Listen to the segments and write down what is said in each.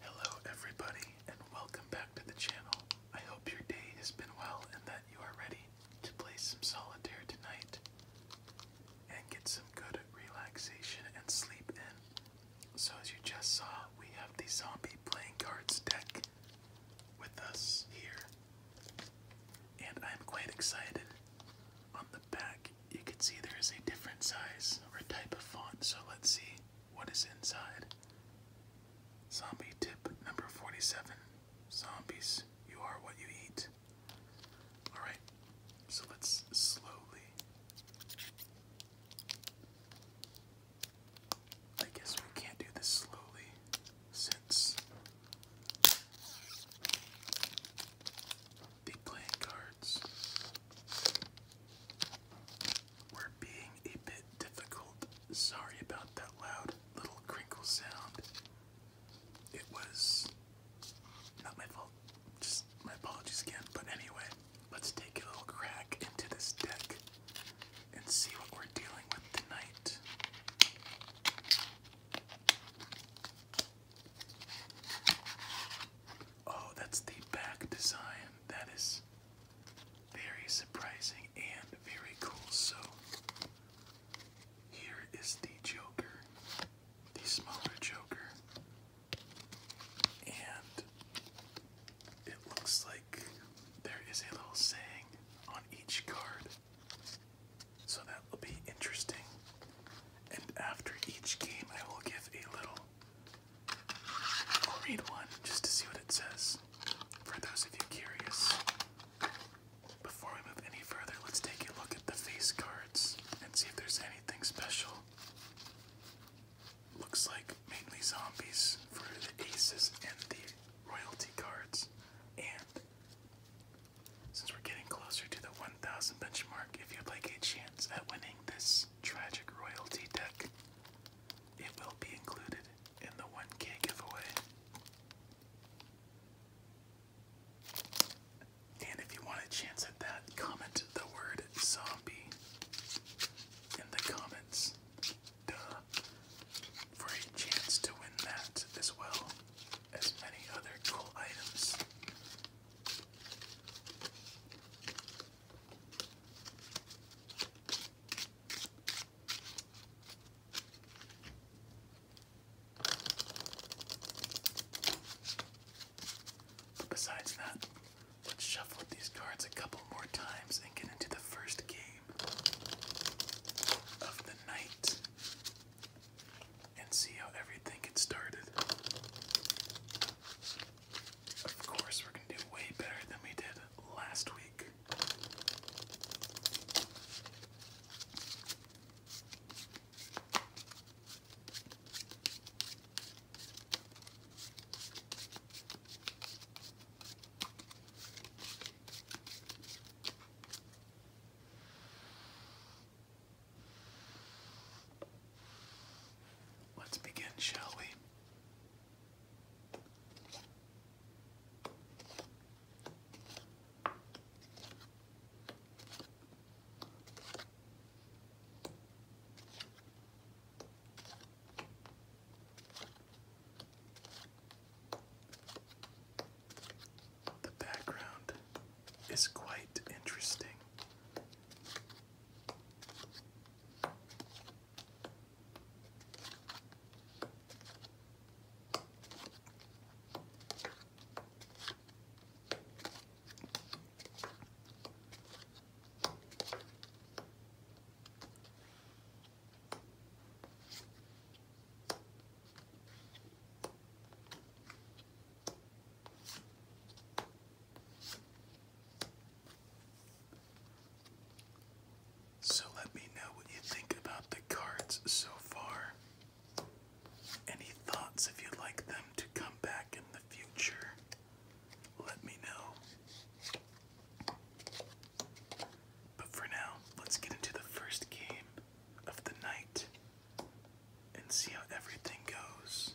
Hello, everybody, and welcome back to the channel. I hope your day has been well and that you are ready to play some solitaire tonight and get some good relaxation and sleep in. So, as you just saw, we have the zombie playing cards deck with us here and I'm quite excited. On the back, you can see there is a different size or type of font, so let's see what is inside. Zombie tip number 47 Zombies, you are what you eat. Alright, so let's slowly. I guess we can't do this slowly since the playing cards were being a bit difficult. Sorry about that loud little crinkle sound. It was not my fault. Just my apologies again. But anyway, let's take a little crack into this deck and see what we're dealing with tonight. Oh, that's the back design. That is very surprising and very cool. So, here is the Joker, the smaller Joker, and it looks like there is a little saying on each card. So that will be interesting. And after each game, I will give a little. I'll read one just to see what it says. For those of you curious. Before we move any further, let's take a look at the face cards and see if there's anything special. Looks like mainly zombies for the aces and the royalty cards, and since we're getting closer to the 1000 benchmark, if you have a chance at winning this Tragic Royalty deck, it will be included in the 1k giveaway. And if you want a chance at that, comment the word zombie in the comments. Duh. For a chance to win that as well as many other cool items. besides that, let's shuffle these cards a couple more times and get into the first game of the night and see how everything gets started. Of course, we're going to do way better than we did last week. Let's begin, shall we? The background is quite interesting. So let me know what you think about the cards so far. Any thoughts if you'd like them to come back in the future? Let me know. But for now, let's get into the first game of the night and see how everything goes.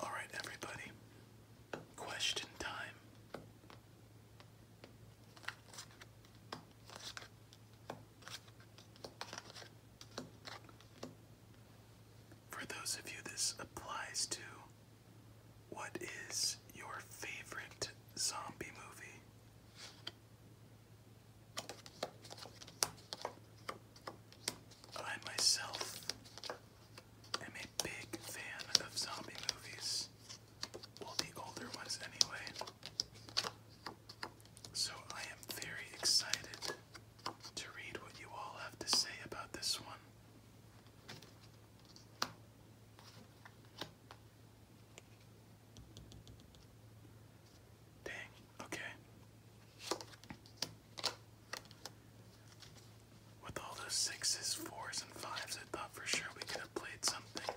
All right, everybody. Question time. For those of you this applies to, what is your favorite zombie movie? I myself am a big fan of zombie movies. Well, the older ones, anyway. So I am very excited to read what you all have to say about this one. Dang, Okay. With all those sixes, fours, and fives, I thought for sure we could have played something.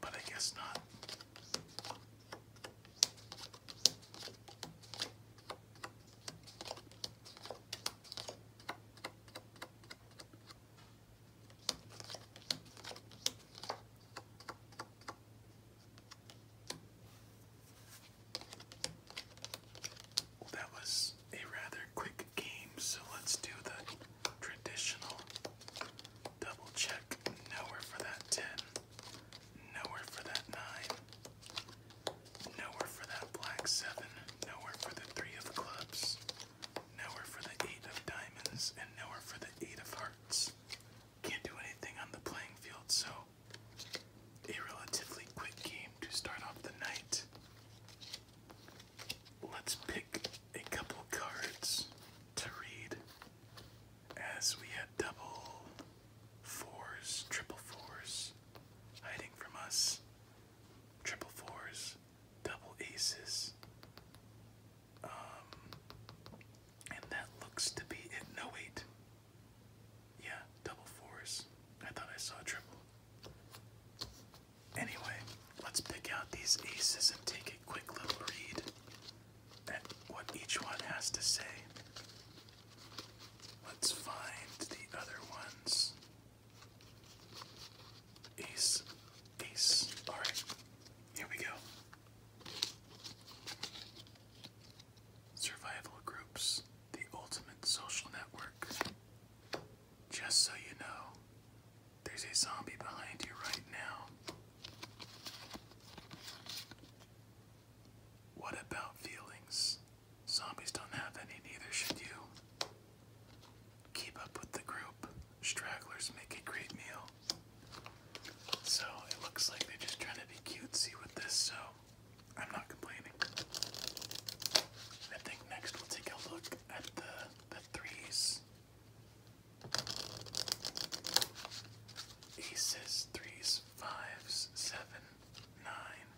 But I guess not that was a rather quick game, so let's do the traditional double check. Nowhere for that 10, nowhere for that 9, nowhere for that black 7, nowhere for the 3 of clubs, nowhere for the 8 of diamonds, and nowhere for the 8 of hearts can't do anything on the playing field, so a relatively quick game to start off the night. Let's pick a couple cards to read as we have double fours, triple fours hiding from us, triple fours, double aces. Um, and that looks to be it. No, wait. Yeah, double fours. I thought I saw a triple. Anyway, let's pick out these aces and take a quick little read at what each one has to say. Let's find the other ones. Ace, ace. Alright, here we go. Survival Groups, the ultimate social network. Just so you know, there's a zombie behind you right now. What about feelings? Zombies don't have any, neither should you. Keep up with the group. Stragglers make a great meal. So it looks like they're just trying to be cutesy with this, so I'm not complaining. I think next we'll take a look at the the threes. Aces, threes, fives, seven, nine.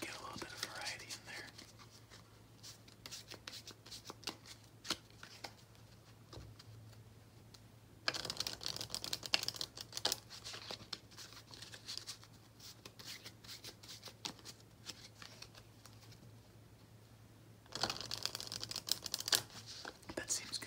Get a little bit of variety in there. That seems good.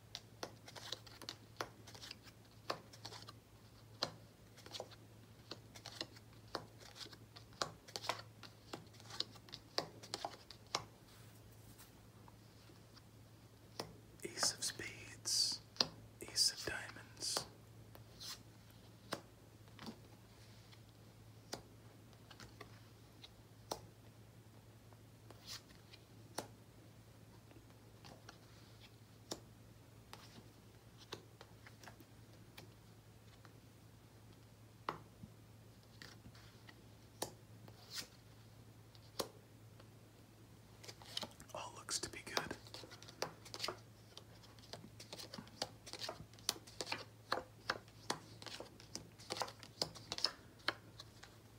Ace of Spades, Ace of Diamonds. All looks to be good.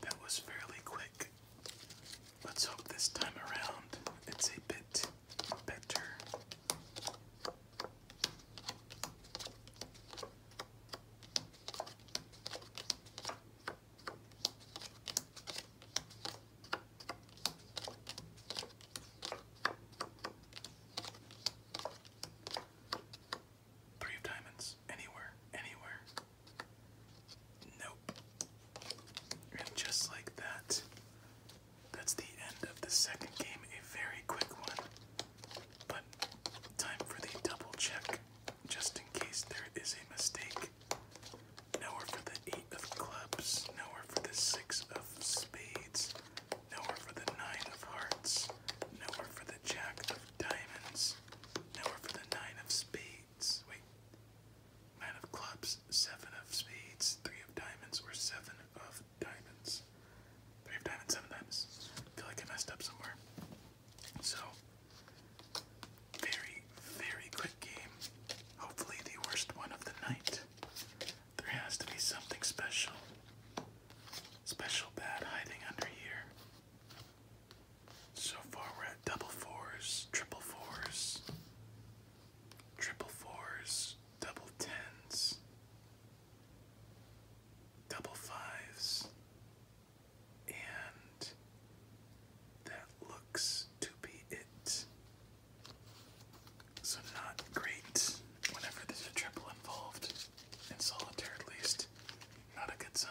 That was fairly quick. Let's hope this time around it's a bit better. Three of diamonds, anywhere, anywhere. Nope. And just like that, that's the end of the second game. A very quick one. But time for the double check, just in case there is a mistake. Nowhere for the eight of clubs, nowhere for the six of spades, nowhere for the nine of hearts, nowhere for the jack of diamonds, nowhere for the nine of spades. Wait. Nine of clubs, seven of spades, three of diamonds, or seven of diamonds. Three diamonds, seven diamonds. feel like I messed up somewhere. So, very, very quick game. Hopefully, the worst one of the night. There has to be something special. Special bad hiding under here. So far we're at double fours, triple fours, triple fours, double tens, double fives, and that looks to be it. So, not great whenever there's a triple involved, in solitaire at least. Not a good sign.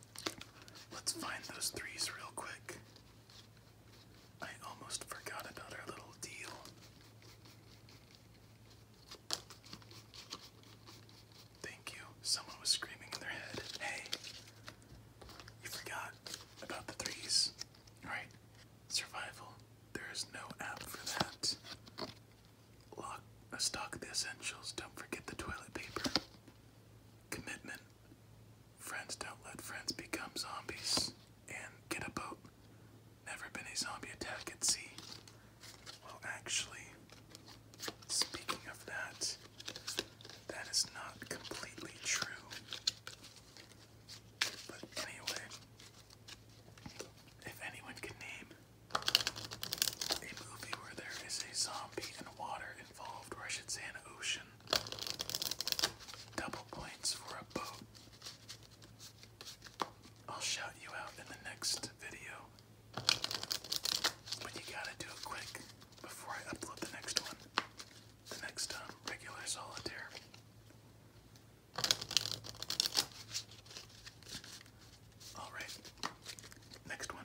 Let's find those threes real quick. I almost forgot about our little deal. Thank you. Someone was screaming in their head. Hey, you forgot about the threes. Alright, survival. There is no app for that. Lock, uh, stock the essentials. Don't forget the toilet paper. Commitment. Friends don't let friends become zombies. And get a boat. Never been a zombie attack at sea. Well, actually, speaking of that, that is not completely true. But anyway, if anyone can name a movie where there is a zombie and water involved, or I should say an ocean. Double points for a boat. I'll shout you out in the next video. But you gotta do it quick before I upload the next one. The next um, regular solitaire. Alright, next one.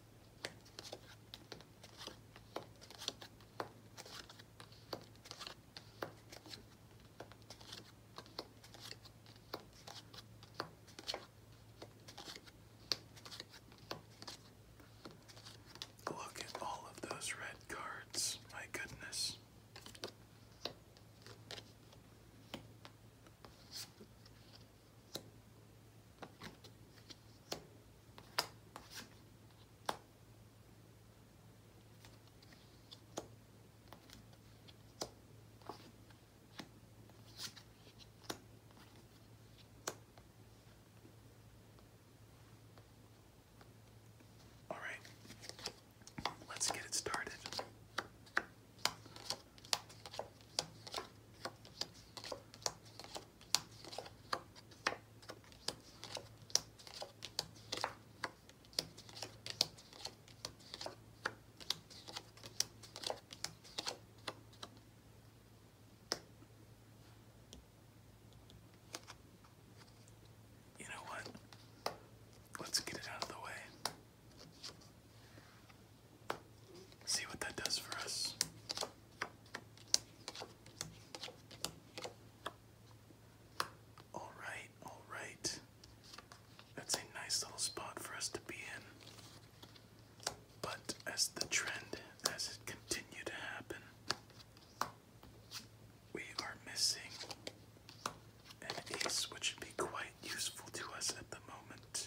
Look at all of those red cards, my goodness. All right, let's get it started. You know what? Let's get it out of the way. See what that does for us. All right, all right. That's a nice little spot for us to be in. But as the trend as it continued to happen, we are missing an ace which would be quite useful to us at the moment.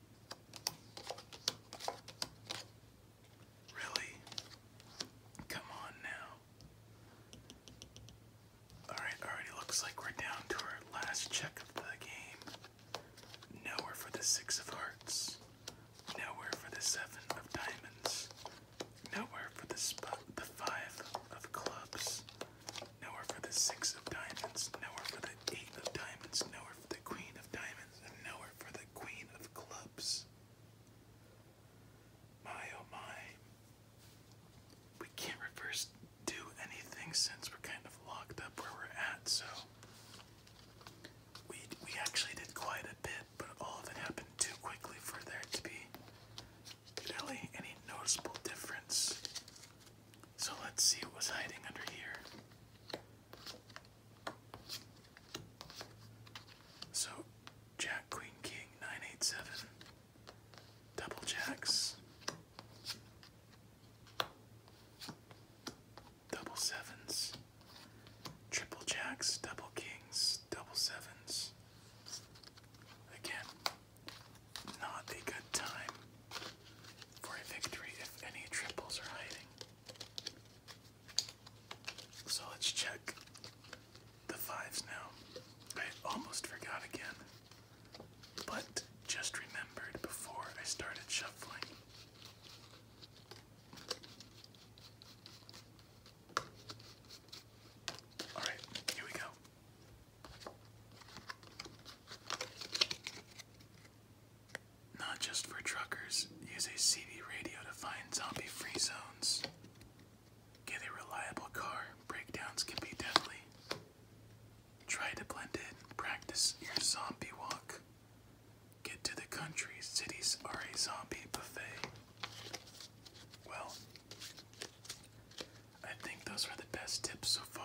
Really? Come on now. Alright, already looks like we're down to our last check of the game. Nowhere for the six of hearts. Nowhere for the seven of diamonds. Nowhere for the five of clubs. Nowhere for the six of diamonds. Nowhere for the eight of diamonds. Nowhere for the queen of diamonds and nowhere for the Queen of Clubs. My oh my. We can't reverse do anything since we're kind of locked up where we're at, so we we actually did quite a bit, but all of it happened too quickly for there to be really any noticeable difference. So let's see what was hiding under here. So, Jack, Queen, King, 987. Double jacks. Double sevens. Triple jacks, double kings, double sevens. Again, not a good time for a victory if any triples are hiding. So let's check the fives now. I almost forgot again, but just remembered before I started shuffling. Alright, here we go. Not just for truckers, use a CD radio to find zombie free zones. Get a reliable car, breakdowns can be deadly. Try to blend in, practice your zombie walk. Get to the country, cities are a zombie buffet. Well, I think those are the best tips so far.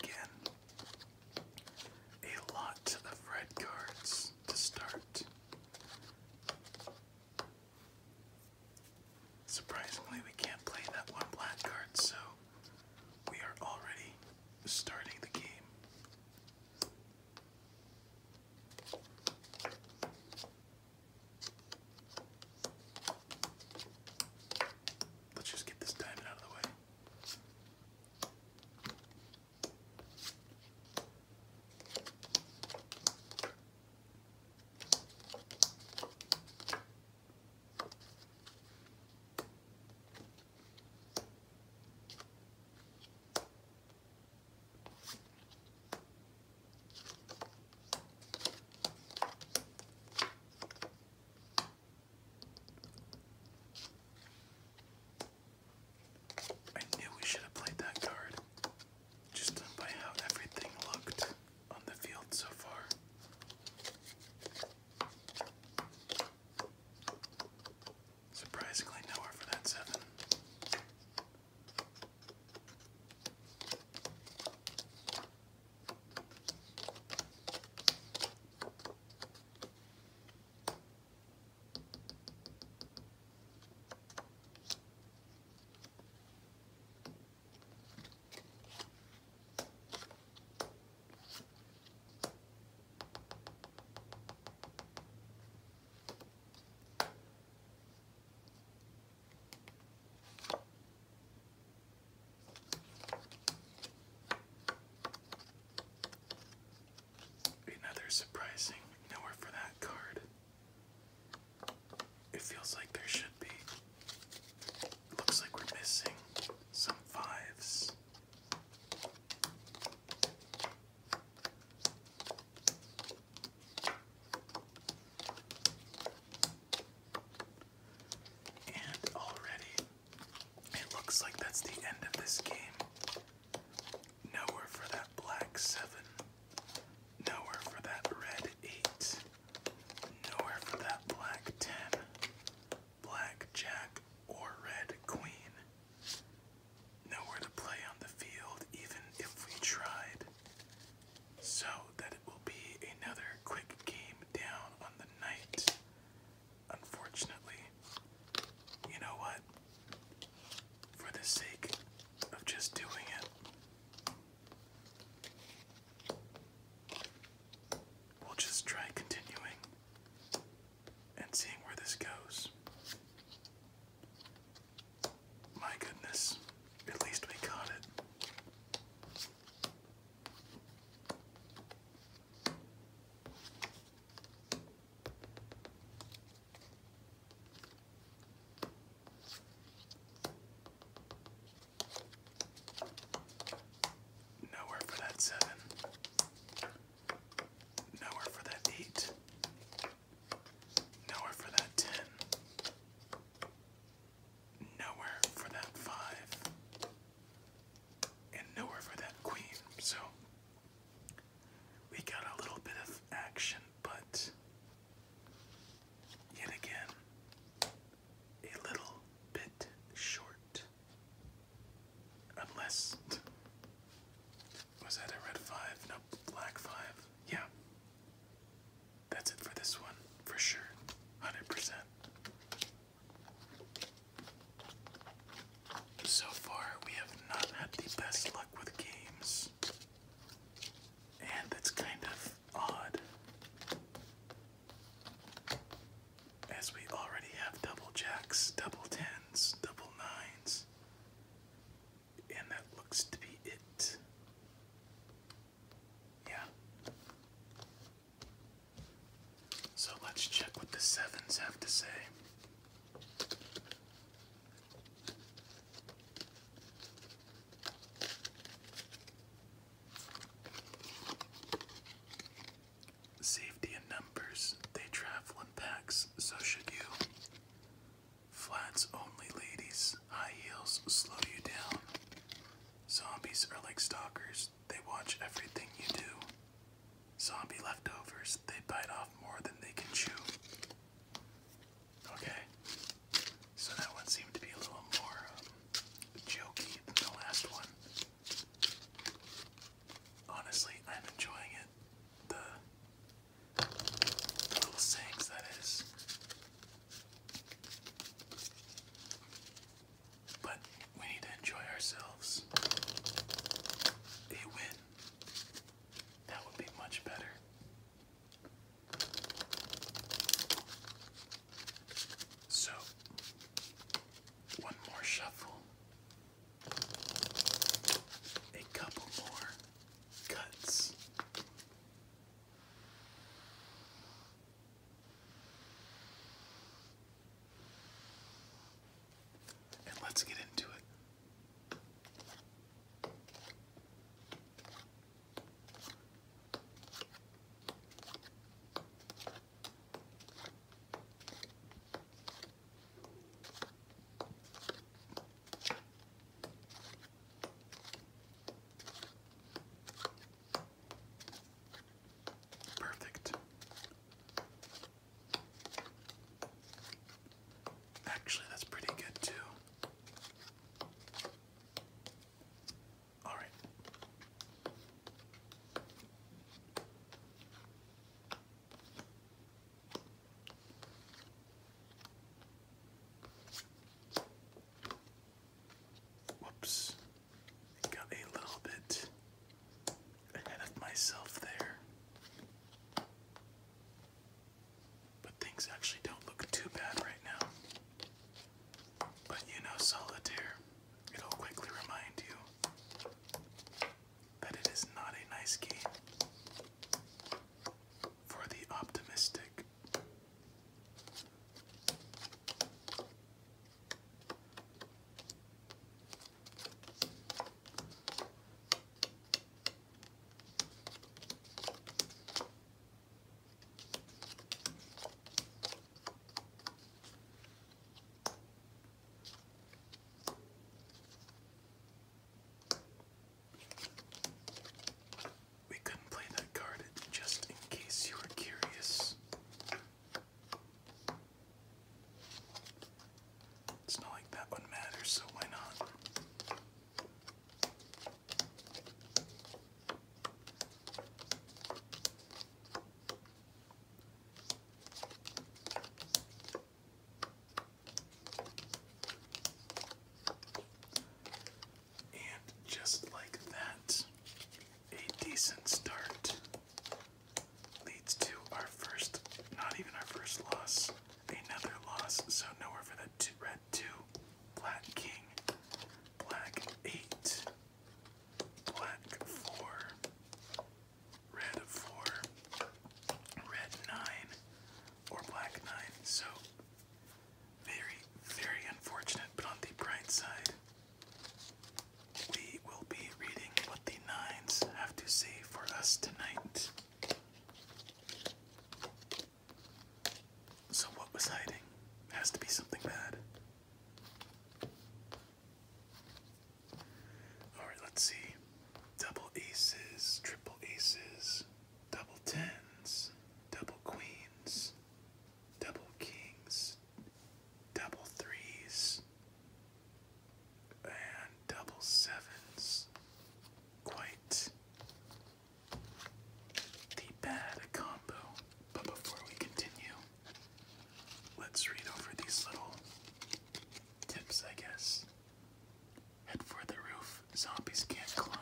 Again, a lot of red cards to start. Surprisingly, we can't play that one black card, so we are already starting the game. Let's just get this diamond out of the way. I knew we should have played that card. Just by how everything looked on the field so far. Surprisingly, nowhere for that seven. Another surprising nowhere for that card. It feels like there should be. Looks like we're missing some fives. And already, it looks like that's the end of this game. Nowhere for that black seven. Nowhere for that red 8. Nowhere for that black 10. Black jack or red queen. Nowhere to play on the field, even if we tried. So that it will be another quick game down on the night. Unfortunately, you know what? For the sake of just doing it, We'll just try continuing and seeing where this goes. My goodness, at least we caught it. Nowhere for that seven. Nowhere for that eight. Nowhere for that ten. Nowhere for that five. And nowhere for that queen. So we got a little bit of action, but Yet again, a little bit short. Unless. Was that a red 5? Nope, black 5. Yeah. That's it for this one, for sure. 100%. So far, we have not had the best luck with games. And that's kind of odd. As we already have double jacks, double tens, double nines, and that looks to be it. Yeah. So let's check what the sevens have to say. Safety in numbers, they travel in packs, so should you. Flats only, ladies. High heels slow you down. Zombies are like stalkers, they watch everything you do. Zombie leftovers, they bite off more than they can chew. Okay. So that one seemed to be a little more um, jokey than the last one. Honestly, I'm enjoying it. The, little sayings, that is. But we need to enjoy ourselves. A win. That would be much better. So, one more shuffle, a couple more cuts. And let's get into it. Perfect. Actually, that's pretty good too. All right. Whoops. Got a little bit ahead of myself there. But things actually don't look too bad right now. But you know, solitaire, it'll quickly remind you that it is not a nice game for the optimistic. We couldn't play that card just in case you were curious. It's not like that one matters, so why not? And just like that, a decent start leads to our first, not even our first loss, another loss. So nowhere for that two red two, black king, black eight, black four, red four, red nine, or black nine. So very, very unfortunate, but on the bright side, we will be reading what the nines have to say for us tonight. So, what was hiding? Has to be something bad. Alright, let's see. Double aces, triple aces, double tens, double queens, double kings, double threes, and double sevens. Quite the bad combo. But before we continue, let's read over these little tips, I guess. Head for the roof. Zombies can't climb.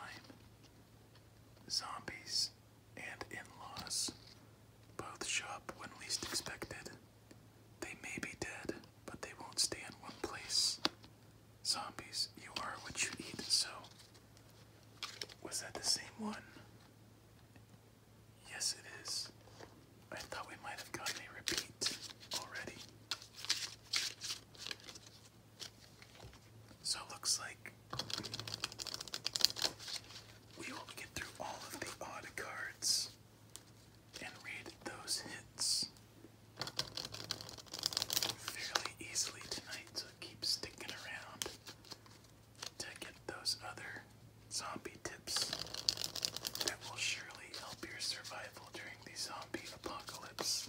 Zombies and in laws both show up when least expected. They may be dead, but they won't stay in one place. Zombies, you are what you eat, so was that the same one? Yes, it is. I thought we might have gotten a repeat already. So it looks like we will get through all of the odd cards and read those hits fairly easily tonight, so keep sticking around to get those other zombie tips that will surely help your survival during the zombie apocalypse.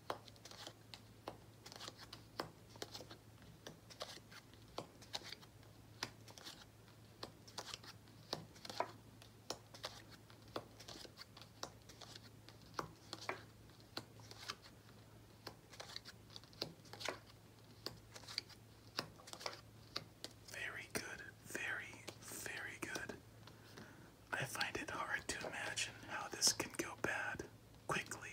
Very good, very, very good. I find it hard to imagine how this can go bad quickly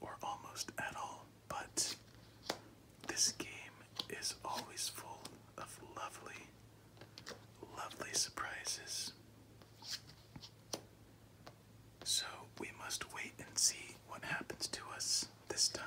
or almost at all, but this game is always full of lovely, lovely surprises. So we must wait and see what happens to us this time.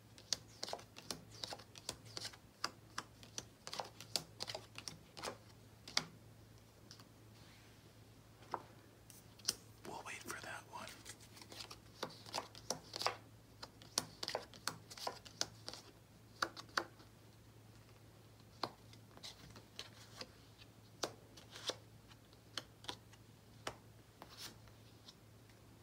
We'll wait for that one.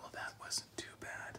Well, that wasn't too bad.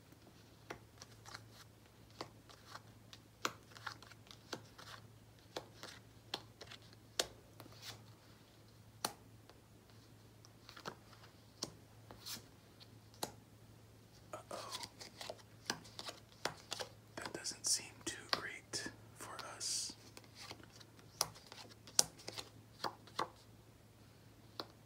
Uh oh. That doesn't seem too great for us.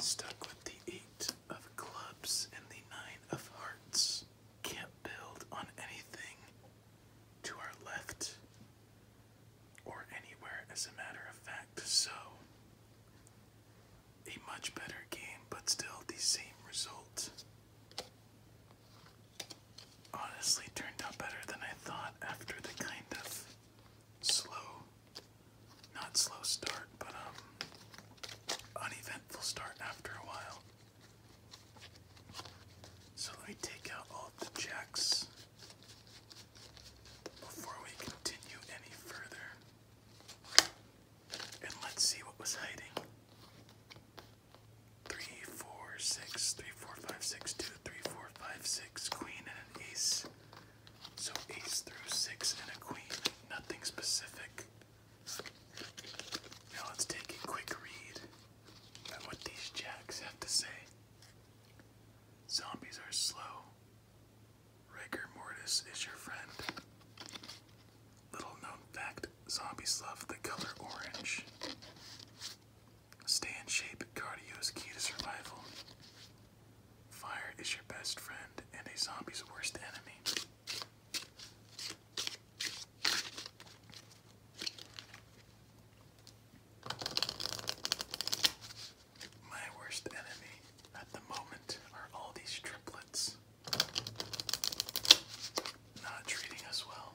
Stuck with the eight of clubs and the nine of hearts. Can't build on anything to our left or anywhere, as a matter of fact, so a much better game, but still the same result. Honestly, turned out better than I thought after the kind of slow, not slow start, but um, uneventful start after a while. So let me take out all the jacks before we continue any further. And let's see what was hiding. 3, 4, 6, queen and an ace. So ace through 6 and a queen, nothing specific. Now let's take a quick read at what these jacks have to say. Zombies are slow. Rigor mortis is your friend. Little known fact zombies love the color orange. Stay in shape, cardio is key to survival. Fire is your best friend and a zombie's worst enemy. My worst enemy at the moment are all these triplets. Not treating us well.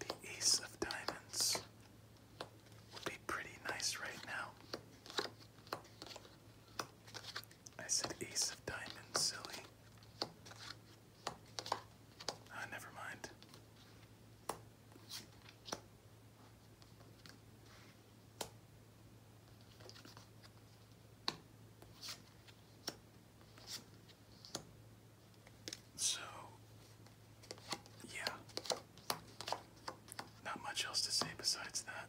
The Ace of Diamonds would be pretty nice right now. I said Ace of Diamonds, silly. Ah, never mind. So, yeah, not much else to say besides that.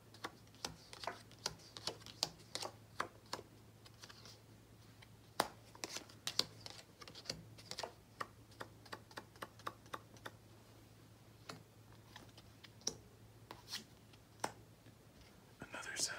Another seven.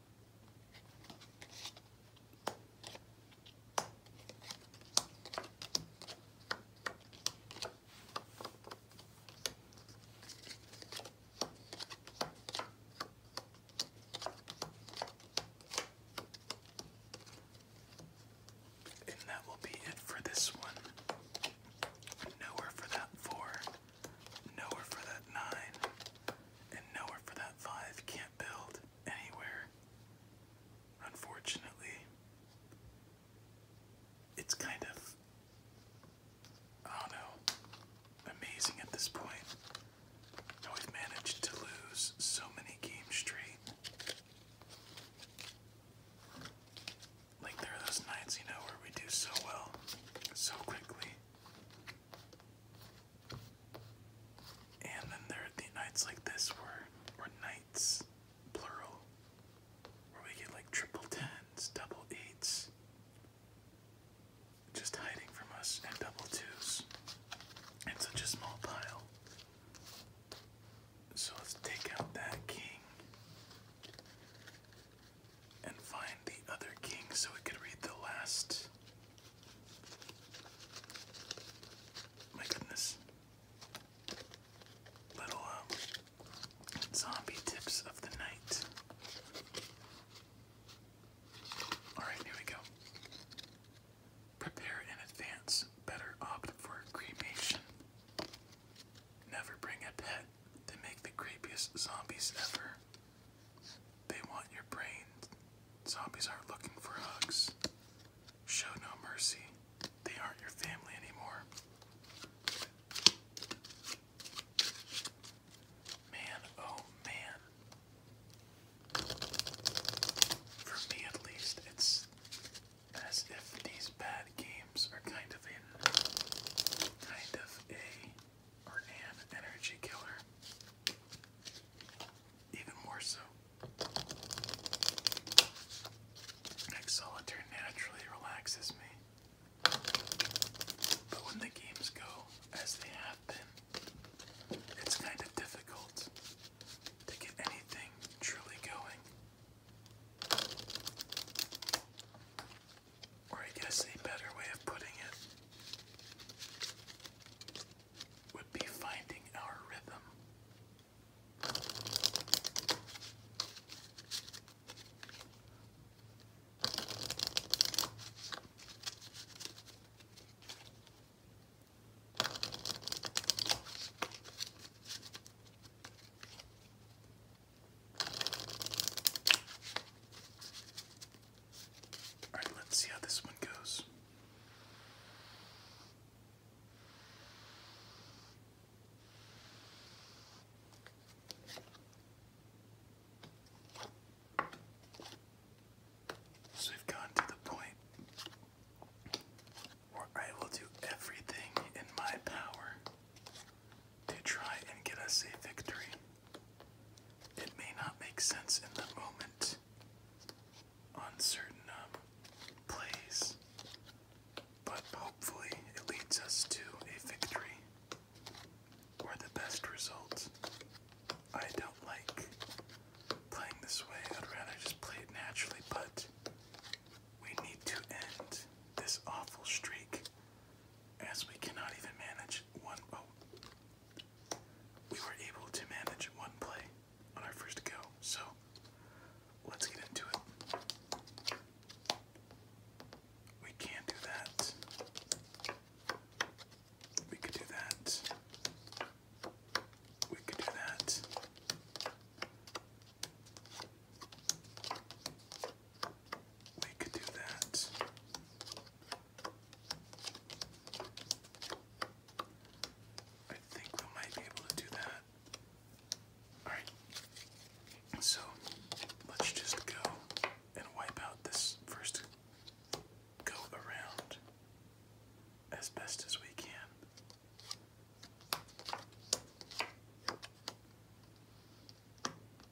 And that will be it for this one. Nowhere for that four. Nowhere for that nine, and nowhere for that five. Can't build anywhere. Unfortunately, it's kind of, I do amazing at this point how have managed to lose so many games straight. Like there are those nights, you know, where we do so well so quickly. And then there are the nights like this where, or nights, plural, where we get like triple tens, double eights, just hiding from us, and double twos. It's such a small pile. So let's take out that king and find the other king so we could read the last. My goodness. Little um, zombie tips of the night. Alright, here we go. Prepare in advance. Better opt for cremation. Never bring a pet. They make the creepiest zombies ever. They want your brain. Zombies aren't looking for hugs. Show no mercy. They aren't your family anymore. Man, oh man. For me at least, it's as if these bad games are kind of in kind of a or an energy killer. Even more so. Like naturally relaxes me. But when the games go as they have been, it's kind of difficult to get anything truly going. Or I guess a better way of putting it would be finding our rhythm. Alright, let's see how this one goes. we've gone to the point where I will do everything in my power to try and get us a victory. It may not make sense in the moment uncertain certain um, plays, but hopefully it leads us to a victory or the best result. I don't like playing this way, I'd rather just play it naturally, but we need to end this awful streak as we cannot even manage one we were able to manage one play on our first go. So let's get into it. We can do that. We could do that. We could do that. We could do that. I think we might be able to do that. Alright, so let's just go and wipe out this first go around as best as we can.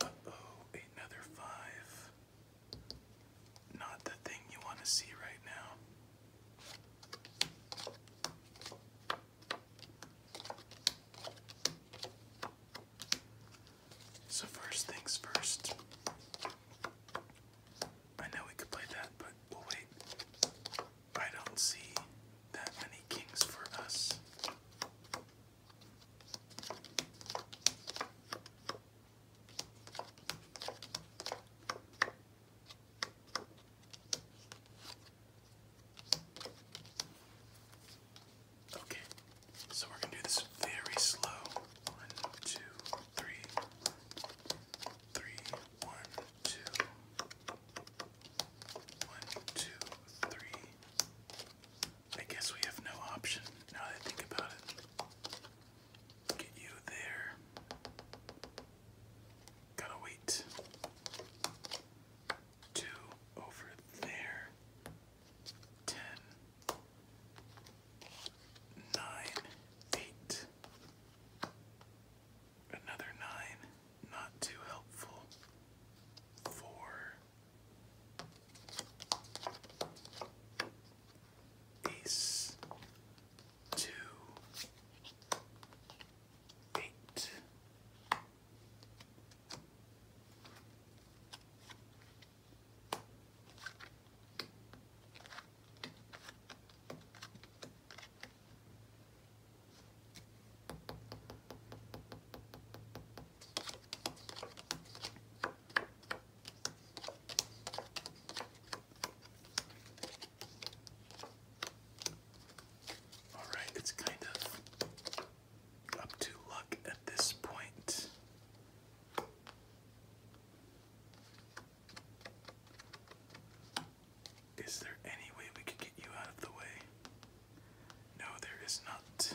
Uh-oh, another five. Not the thing you want to see right now. So first things first. I know we could play that, but we'll wait. I don't see that many kings for us. Okay, so we're gonna do this very slow. One, two, three, three, one, two, one, two, three. I guess we have no option now that I think about it. Get you there. Gotta wait. Two over there. Ten nine, eight. Another nine, not too helpful. Four, ace, two, eight. All right, it's kind of up to luck at this point. Is there any way we could get you out of the way? No, there is not.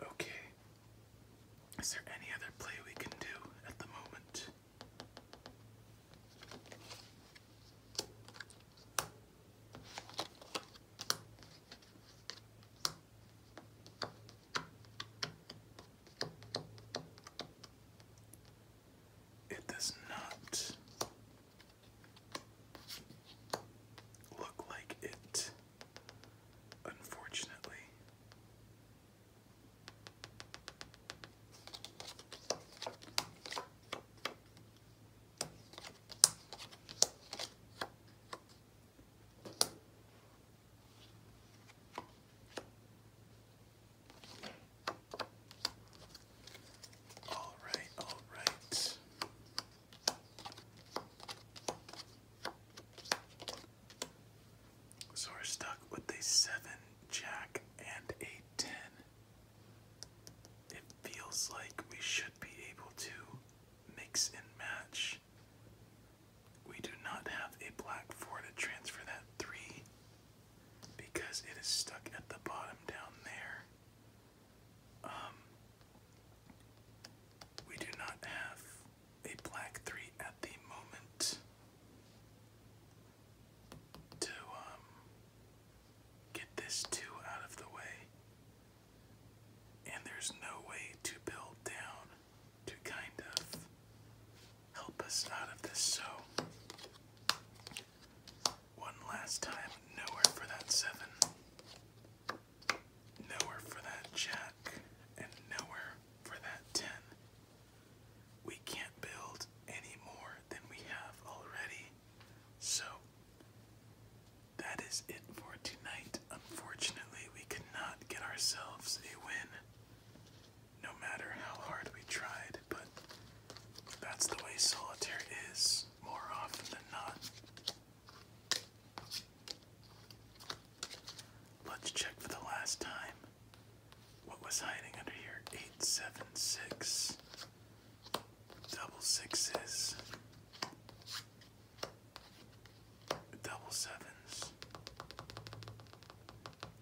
Okay. Is there any other play we can do at the moment? It does not look like it, unfortunately. All right, all right. So we're stuck with a seven jack and a ten. It feels like we should be able to mix and match. We do not have a black four to transfer that three because it is stuck at the bottom down there. Um, we do not have a black three at the moment to um, get this two out of the way. And there's no way to build down to kind of help us out of this, so one last time, nowhere for that seven. Nowhere for that jack, and nowhere for that ten. We can't build any more than we have already, so that is it for tonight. Unfortunately, we could not get ourselves a win, no matter how hard we tried, but that's the way solitaire is more often than not. Let's check for the last time. What was hiding under here? Eight, seven, six. Double sixes. Double sevens.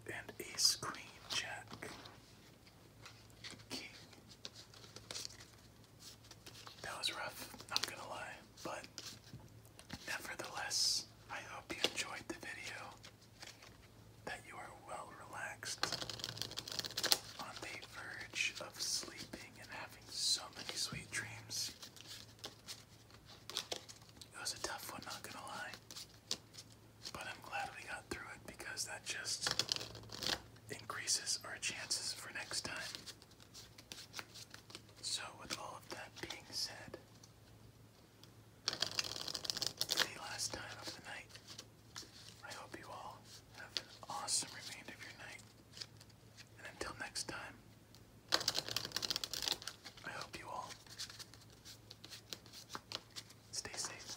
And a queen, jack, king, that was rough, not gonna lie, but nevertheless, I hope you enjoyed the video, that you are well relaxed, on the verge of sleeping and having so many sweet dreams. It was a tough one, not gonna lie, but I'm glad we got through it because that just increases our chances for next time. So, with all of that being said, the last time of the night, I hope you all have an awesome remainder of your night. And until next time, I hope you all stay safe.